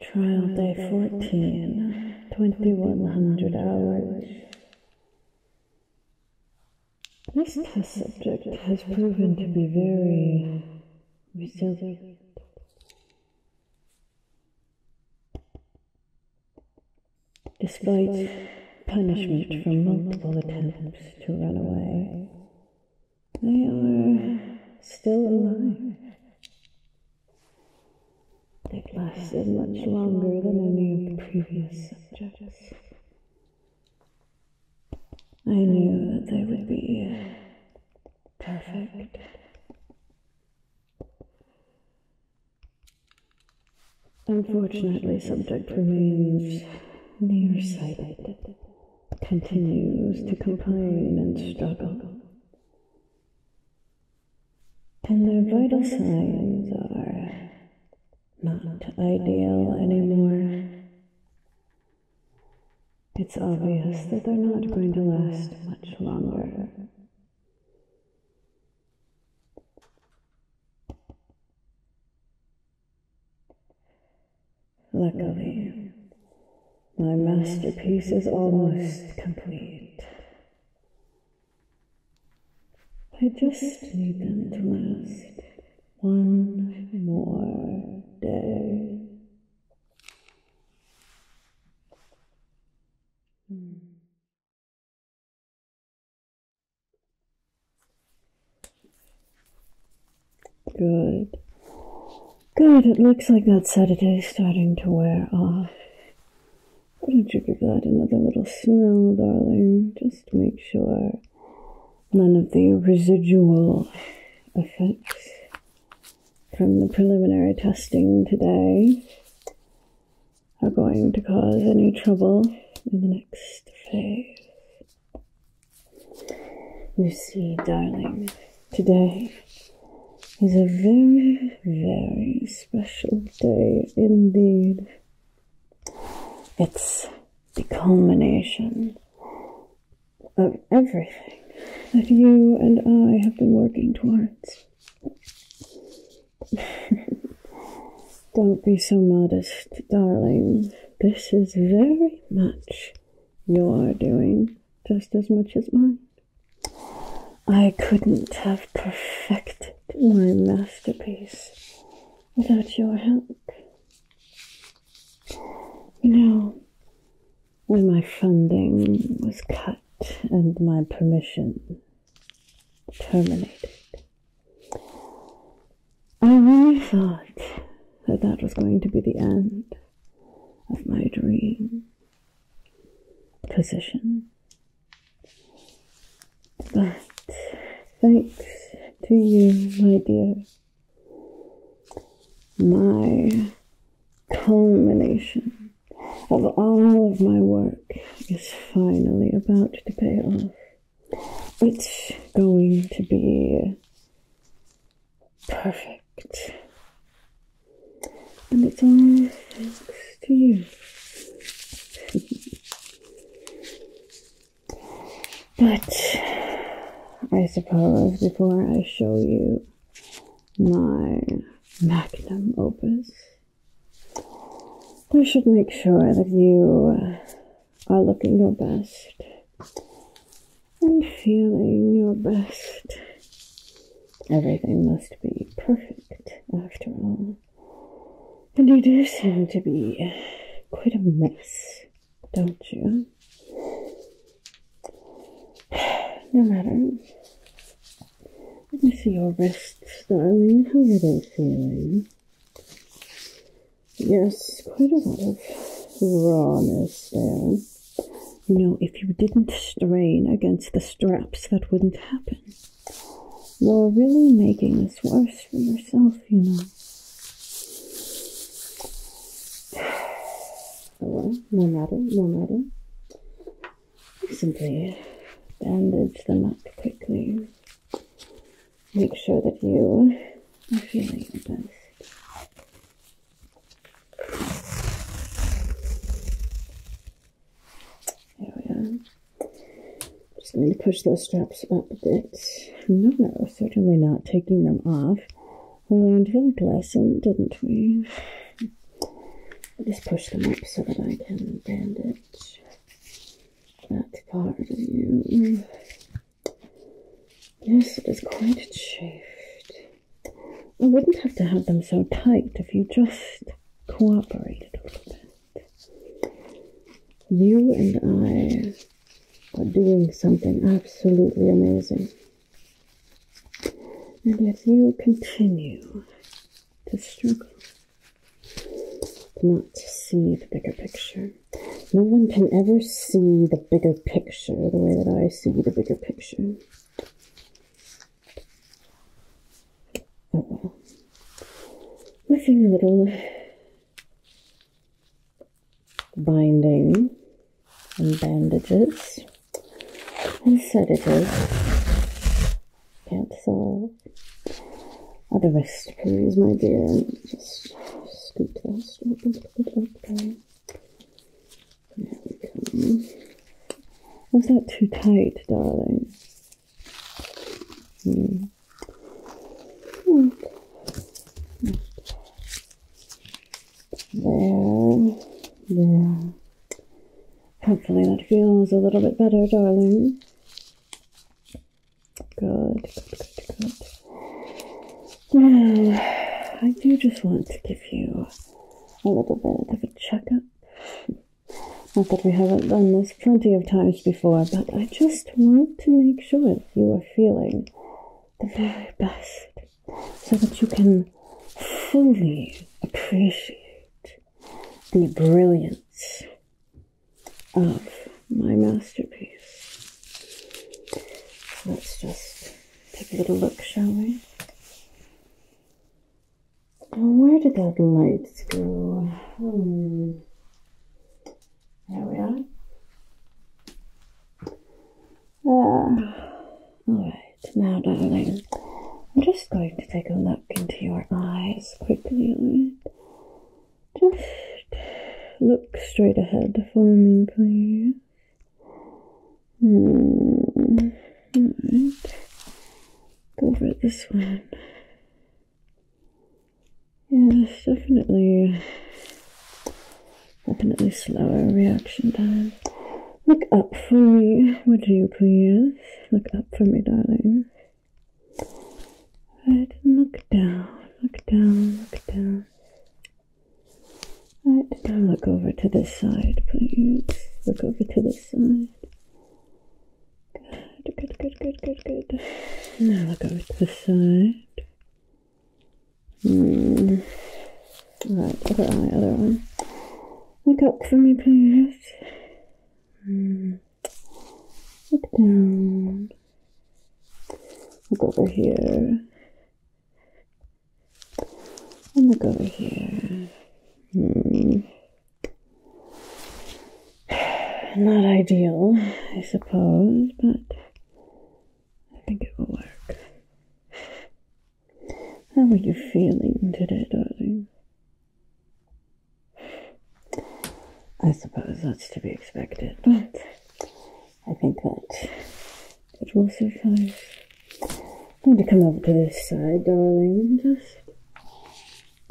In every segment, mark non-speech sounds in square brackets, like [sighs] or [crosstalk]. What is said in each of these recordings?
Trial day 14, 2100 hours. This test subject has proven to be very resilient. Despite punishment from multiple attempts to run away, they are still alive. they lasted much longer than any of the previous subjects. I knew that they would be perfect. Unfortunately, subject remains nearsighted continues to complain and struggle. And their vital signs are not ideal anymore. It's obvious that they're not going to last much longer. Luckily, my masterpiece is almost complete. I just need them to last one more day. Hmm. Good. Good, it looks like that Saturday's starting to wear off. Why don't you give that another little smell, darling? Just make sure none of the residual effects from the preliminary testing today are going to cause any trouble in the next phase. You see, darling, today is a very, very special day indeed. It's the culmination of everything that you and I have been working towards. [laughs] Don't be so modest, darling. This is very much your doing, just as much as mine. I couldn't have perfected my masterpiece without your help. You know, when my funding was cut and my permission terminated, I really thought that that was going to be the end of my dream position. But thanks to you, my dear, my culmination of all of my work is finally about to pay off. It's going to be perfect. And it's all thanks to you. but I suppose before I show you my magnum opus, I should make sure that you are looking your best and feeling your best. Everything must be perfect after all. And you do seem to be quite a mess, don't you? [sighs] No matter. Let me see your wrist. darling. How are they feeling? Yes, quite a lot of rawness there. You know, if you didn't strain against the straps, that wouldn't happen. You're really making this worse for yourself, you know. So, [sighs] well, more matter, no matter. simply bandage them up quickly make sure that you are feeling the best. There we Just going to push those straps up a bit. No, no, certainly not taking them off. We learned that lesson, didn't we? just push them up so that I can bandage that part of you. Yes, it is quite chafed. I wouldn't have to have them so tight if you just cooperated a little bit. You and I are doing something absolutely amazing. And if you continue to struggle to not see the bigger picture. No one can ever see the bigger picture the way that I see the bigger picture. Oh well. Looking little binding and bandages and sedatives. Can't solve. I'll the rest, please, my dear. Just scoot that straight into there. we come. Was that too tight, darling? Hmm. There. There. Hopefully that feels a little bit better, darling. Good, good, good, good. I do just want to give you a little bit of a checkup. Not that we haven't done this plenty of times before, but I just want to make sure that you are feeling the very best so that you can fully appreciate the brilliance of my masterpiece. let's just take a little look, shall we? Where did that light go? Hmm. There we are. Ah, all right. Now, darling, I'm just going to take a look into your eyes quickly. Just look straight ahead. following me, please. Hmm. Go for this one. Yes, definitely. Definitely slower reaction time. Look up for me, would you please? Look up for me, darling. Right, look down, look down, look down. All right, now look over to this side, please. Look over to this side. Good, good, good, good, good, good. Now look over to the side. Mm. Right, other eye, other one. Look up for me, please. Mm. Look down. Look over here. And look over here. Hmm. [sighs] Not ideal, I suppose, but I think it will work. How are you feeling today, darling? I suppose that's to be expected, but mm. I think that it will suffice. I'm going to come over to this side, darling, and just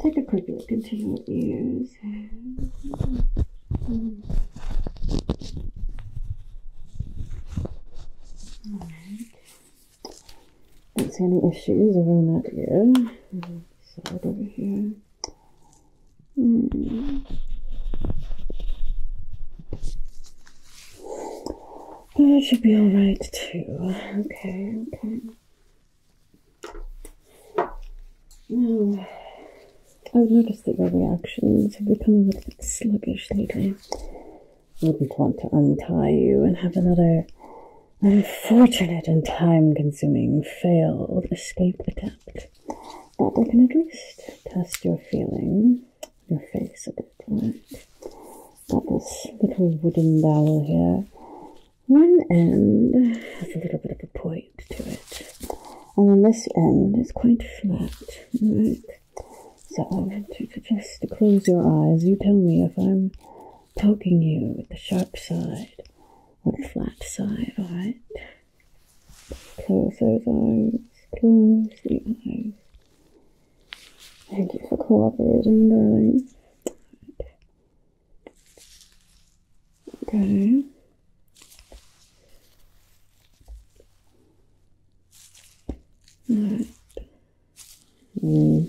take a quick look into your ears. Mm. Alright. Don't see any issues around that ear. Side over here. Mm. That should be all right too. Okay, okay. Now, hmm. I've noticed that your reactions have become a little bit sluggish lately. I wouldn't want to untie you and have another unfortunate and time consuming failed escape attempt. But that can at least test your feeling, your face a bit, right? Got little wooden dowel here. One end has a little bit of a point to it, and on this end is quite flat, So I want you to close your eyes. You tell me if I'm poking you with the sharp side on the flat side, alright? Close those eyes, close the eyes. Thank you for cooperating, darling. Okay. Alright. Mm.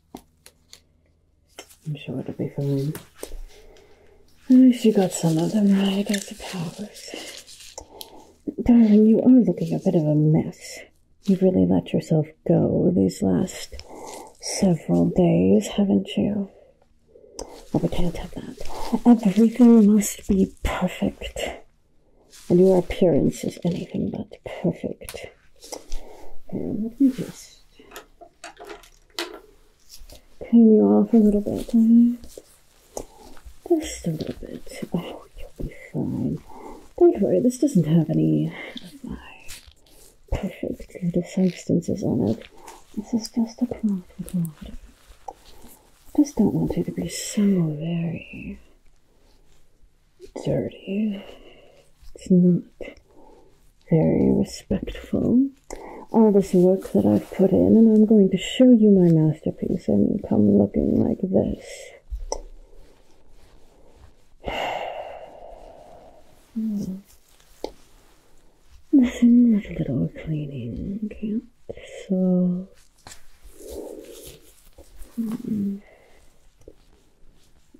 I'm sure it'll be fine. At least you got some of them right, I powers, Darling, you are looking a bit of a mess. You've really let yourself go these last several days, haven't you? Oh, we can't have that. Everything must be perfect. And your appearance is anything but perfect. And let me just clean you off a little bit. Just a little bit. Oh, you'll be fine. Don't worry, this doesn't have any of my perfect little substances on it. This is just a cloth with I just don't want you to be so very dirty. It's not very respectful. All this work that I've put in, and I'm going to show you my masterpiece. And mean, come looking like this. [sighs] little cleaning, So.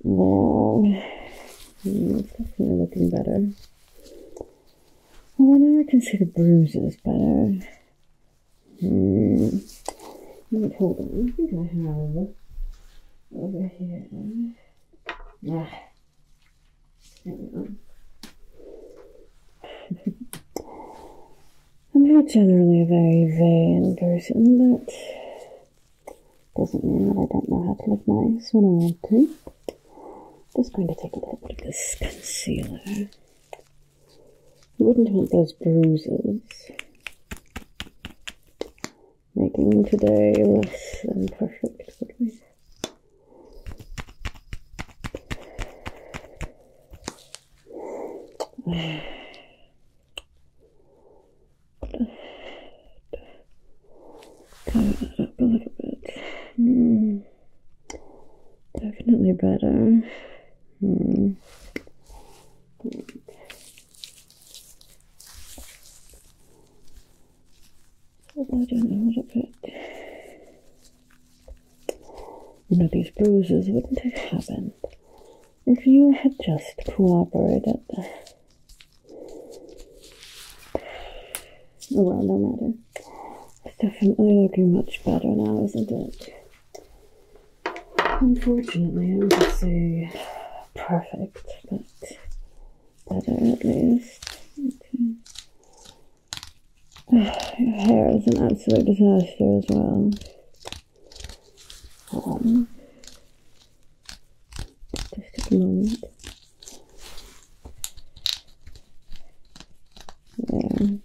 No. it's definitely looking better. Well, oh, now I can see hmm. the bruises but Hmm. Wait, hold on. I think I have over here. Yeah. [laughs] I'm not generally a very vain person, but doesn't mean that I don't know how to look nice when I want to. Just going to take a little bit of this concealer. You wouldn't want those bruises making today less than perfect for me. Tighten that up a little bit. Definitely better. Mm. Mm. Slow down a little bit. You know, these bruises wouldn't have happened if you had just cooperated. Oh well, no matter. It's definitely looking much better now, isn't it? Unfortunately, I would say perfect, but better at least. Okay. Your [sighs] hair is an absolute disaster as well. Um, just a moment. Um,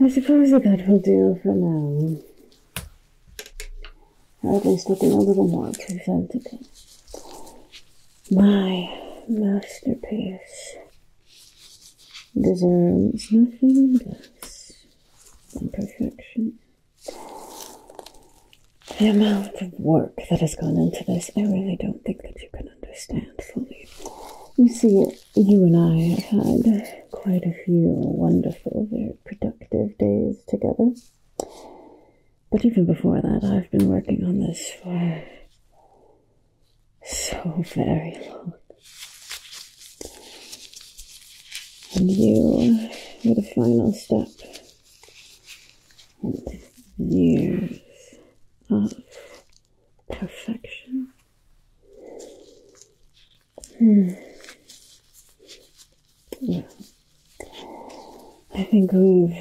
I suppose that will do for now. Or at least looking a little more presentable. My masterpiece. Deserves nothing, less than perfection. The amount of work that has gone into this, I really don't think that you can understand fully. You see, you and I had quite a few wonderful, very productive days together. But even before that, I've been working on this for so very long. And you were the final step in years of perfection. Hmm. I think we've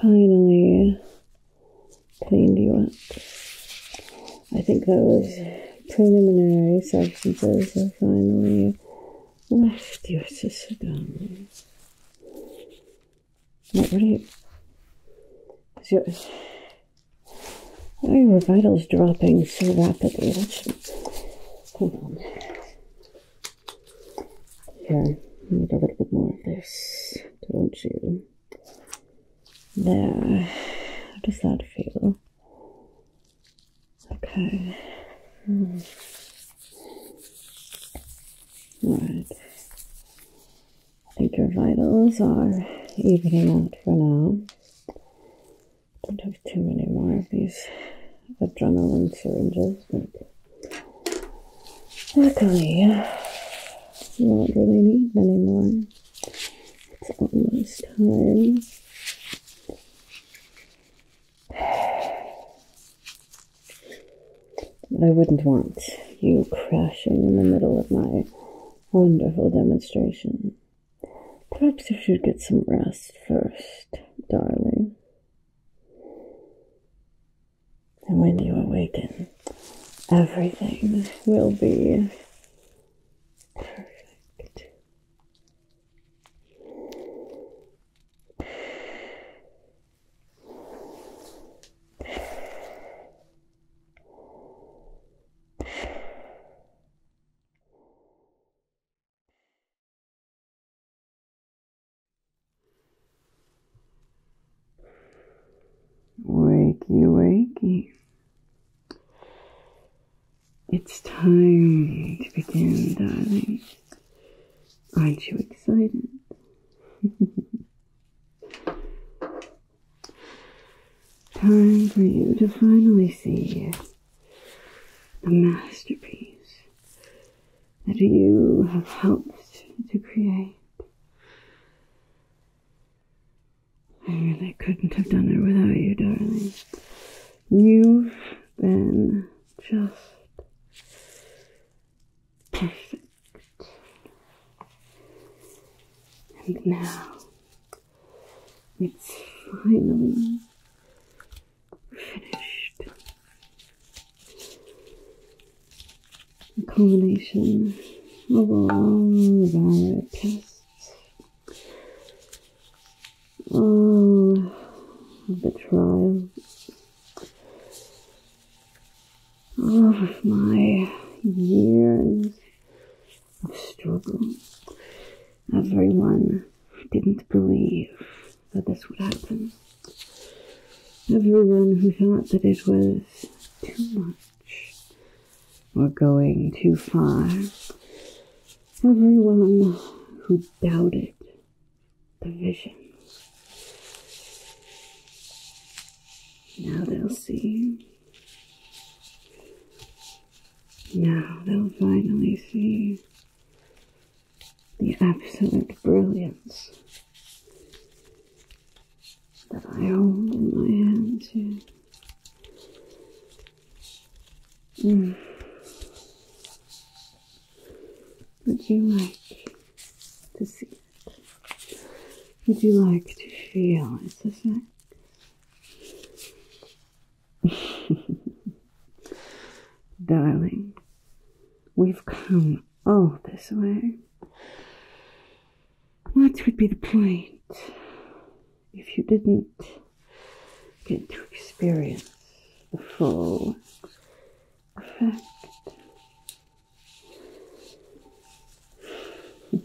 finally cleaned you up. I think that was preliminary substances that finally left your system. Not really. Your, why oh, are your vitals dropping so rapidly? That's, hold on. Here, need a little bit more of this, don't you? There. How does that feel? Okay. Hmm. Right. I think your vitals are evening out for now. Don't have too many more of these adrenaline syringes, but Luckily, I don't really need many more. It's almost time. I wouldn't want you crashing in the middle of my wonderful demonstration. Perhaps you should get some rest first, darling. And when you awaken, everything will be perfect. Wakey, wakey. It's time to begin, darling. Aren't you excited? [laughs] time for you to finally see the masterpiece that you have helped to create. I really couldn't have done it without you, darling. You've been just perfect. And now it's finally finished a combination of all long, valid past. Oh, the trials of my years of struggle. Everyone didn't believe that this would happen. Everyone who thought that it was too much. We're going too far. Everyone who doubted the vision. Now they'll see. Now they'll finally see the absolute brilliance that I hold in my hands here. Mm. Would you like to see Would you like to feel [laughs] Darling, we've come all this way what would be the point if you didn't get to experience the full effect? [laughs]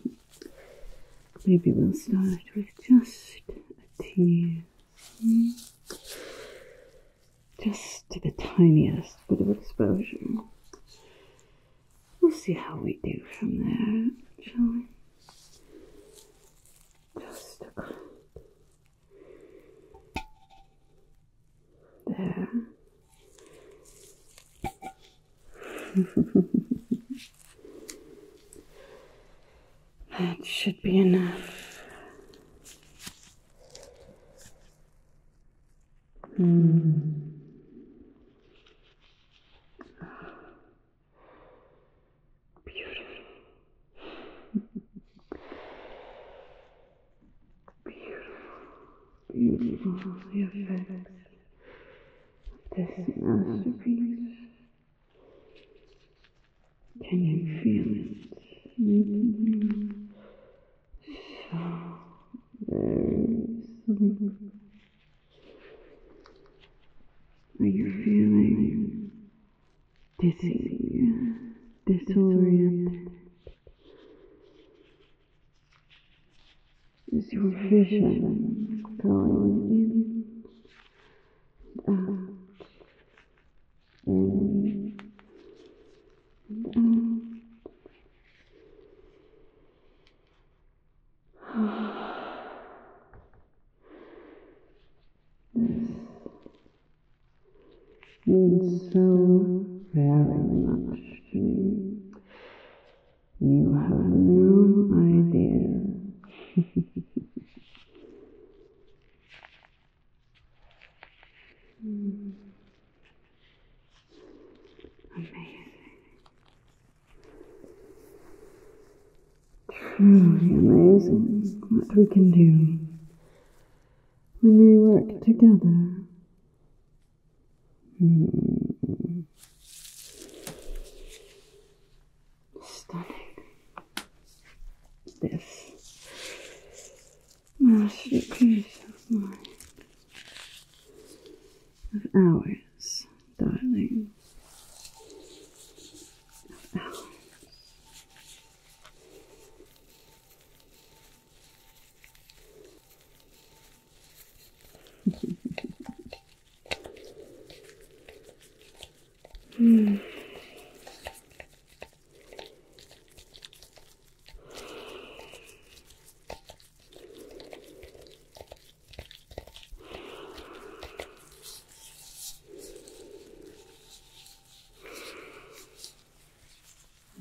Maybe we'll start with just a tear. Just the tiniest bit of exposure. We'll see how we do from there, shall we? Just a crack. There. [laughs] that should be enough. Hmm. Beautiful. Beautiful. Beautiful. The masterpiece. Can you are you feeling dizzy, disoriented? Is your vision going in and out? Mm -mm. this means so very much to me. You have no idea. [laughs] Amazing. Truly amazing what we can do when we work together. Mm. Stunning. This masterpiece of mine of hours, darling. Of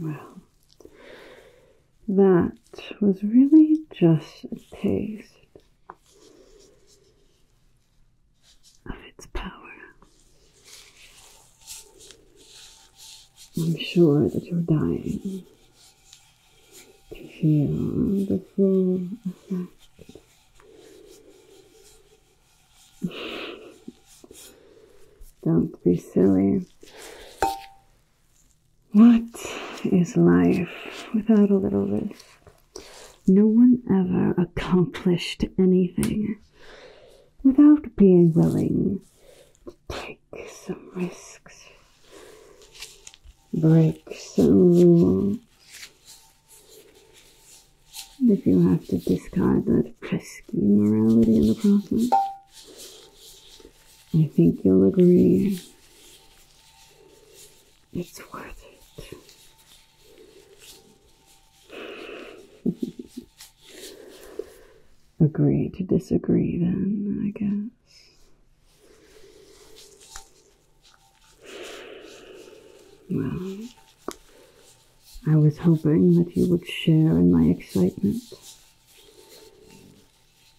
well, that was really just a taste of its power. I'm sure that you're dying to feel the full effect. Don't be silly. What is life without a little risk? No one ever accomplished anything without being willing to take take some risks, break some rules. If you have to discard that pesky morality in the process, I think you'll agree it's worth it. [laughs] agree to disagree, then, I guess. Well, I was hoping that you would share in my excitement,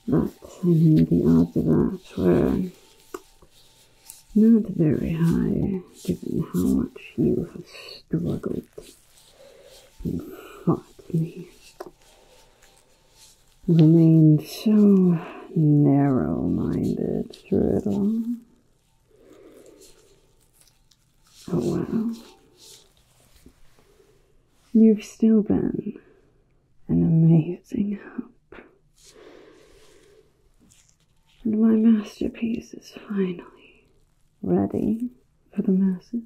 but the odds of that were not very high, given how much you have struggled you hot in here. Remained so narrow minded through it all. Oh wow. You've still been an amazing help. And my masterpiece is finally ready for the masses.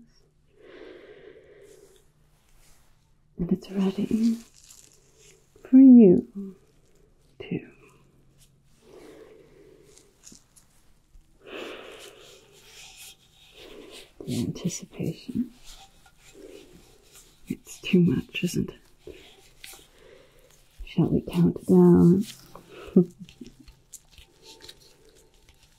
And it's ready for you too. The anticipation. It's too much, isn't it? Shall we count down? [laughs]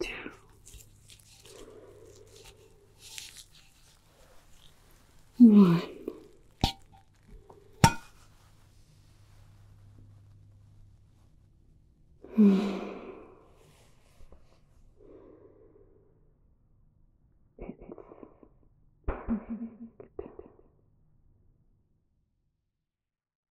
two, one. It's perfect.